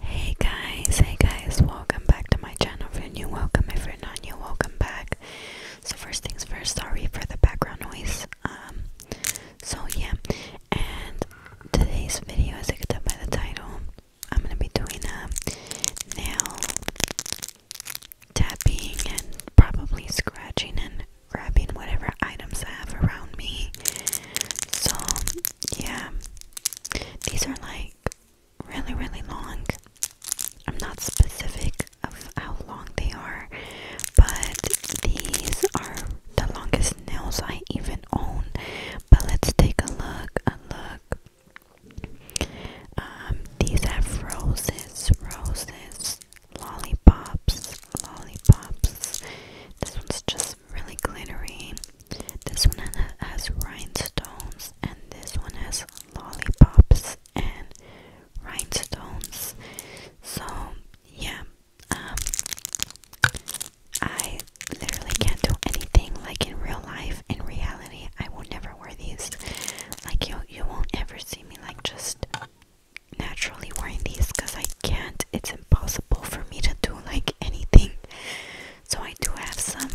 Hey guys, hey guys, welcome back to my channel. If you're new, welcome. If you're not welcome back. So first things first, sorry for the background noise. Um so yeah, and today's video as you can by the title, I'm gonna be doing a uh, nail tapping and probably scratching and grabbing whatever items I have around me. So yeah, these are like really, really long. I'm not specific of how long they are, but these are the longest nails I even own. But let's take a look, a look. Um, these have roses, roses, lollipops, lollipops. This one's just really glittery. This one has rhinestones, and this one has lollipops and rhinestones. So, yeah, um, I literally can't do anything like in real life. In reality, I will never wear these. Like, you, you won't ever see me, like, just naturally wearing these because I can't. It's impossible for me to do, like, anything. So I do have some,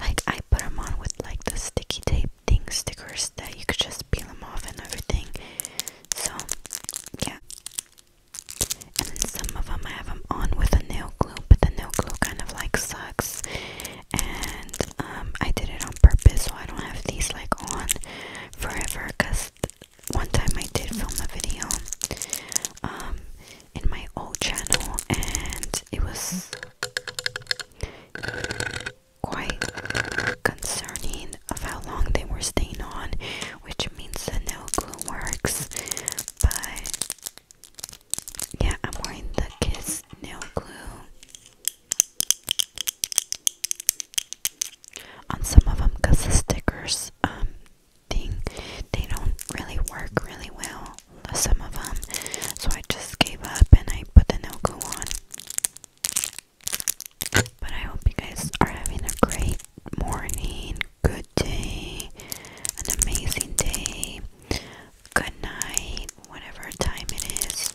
like I put them on with like the sticky tape thing stickers that you could just peel them off and everything. So yeah. And then some of them I have them on with a nail glue, but the nail glue kind of like sucks. And um, I did it on purpose, so I don't have these like on forever. Cause one time I did film a video, um, in my old channel and it was quite concerning of how long they were staying on which means the no glue works but yeah I'm wearing the kiss nail glue on some of them because the stickers um, thing. They don't really work really well, some of them. So I just gave up and I put the no glue on. But I hope you guys are having a great morning, good day, an amazing day, good night, whatever time it is.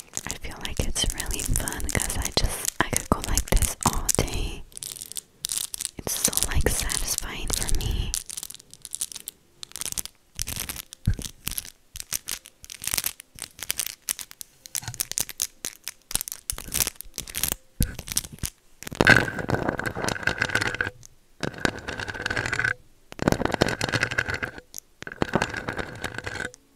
I feel like it's really fun because I just I could go like this all day. It's so like satisfying for me.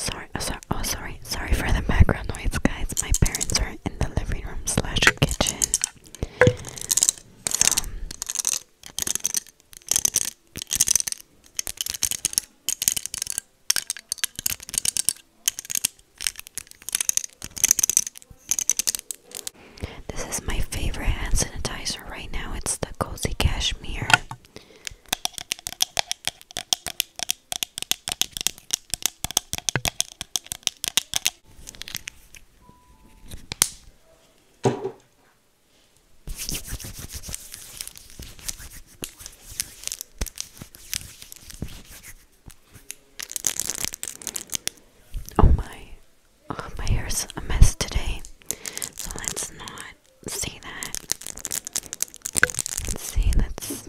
Sorry, uh, sorry, oh, sorry, sorry for the background noise, guys. My parents are in the living room slash kitchen. This is my favorite hand sanitizer right now. It's the Cozy Cashmere. Oh my, oh my hair's a mess today, so let's not see that. Let's see, let's.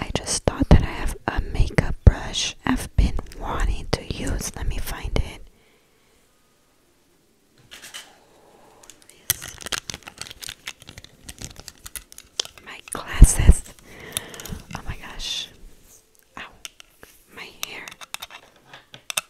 I just thought that I have a makeup brush I've been wanting to use. Let me find it. My glasses. Oh my gosh. Ow. My hair.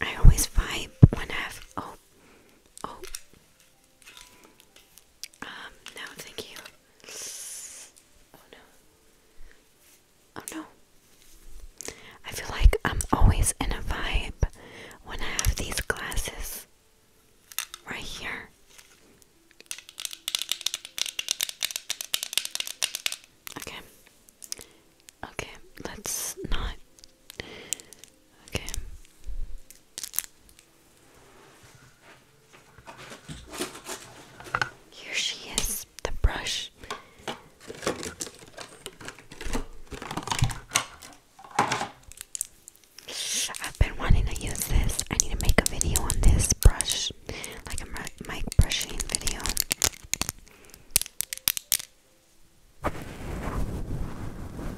I always vibe when I have oh oh um, no, thank you. Oh no. Oh no. I feel like I'm always in a vibe when I have these glasses right here. Okay. Okay, let's not. Okay. Here she is, the brush. I've been wanting to use this. I need to make a video on this brush, like a mic brushing video.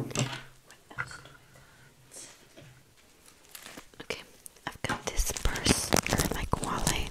Okay. Okay, I've got this purse or like wallet.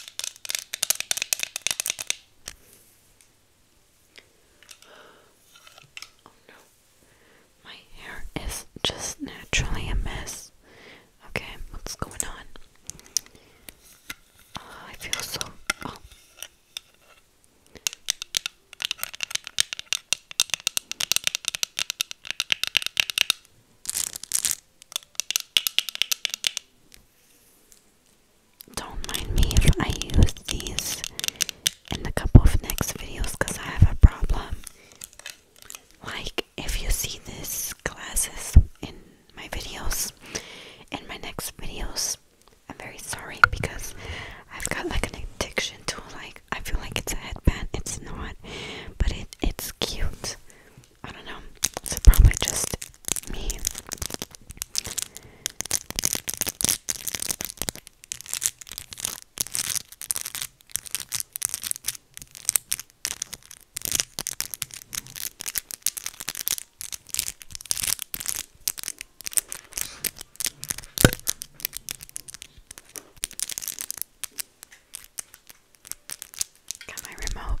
Oh no. My hair is just naturally a mess. Okay, what's going on? Oh, I feel so. Oh. Don't mind me if I use these in a couple of next videos because I have a problem. Like, if you see these glasses in my videos, in my next videos, I'm very sorry because I've got like an addiction to like, I feel like it's a headband, it's not, but it, it's cute. I don't know, so probably just me. Got my remote.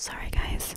Sorry, guys.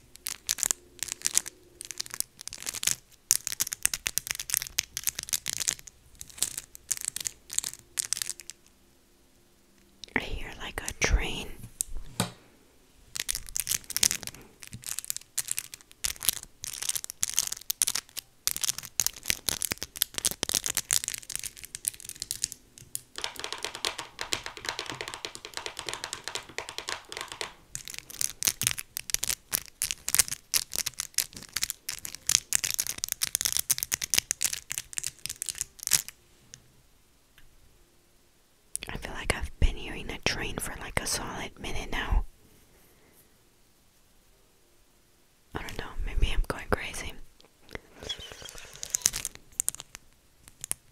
I hear like a train. I feel like I've been hearing a train for like a solid minute now. I don't know, maybe I'm going crazy.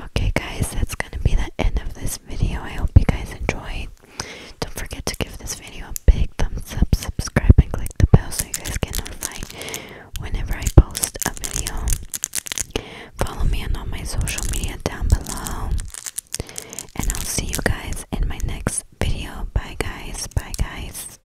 Okay, guys, that's going to be the end of this video. I hope you guys enjoyed. Don't forget to give this video a big thumbs up, subscribe, and click the bell so you guys get notified whenever I post a video. Follow me on all my social media down below. And I'll see you guys in my next video. Bye, guys. Bye, guys.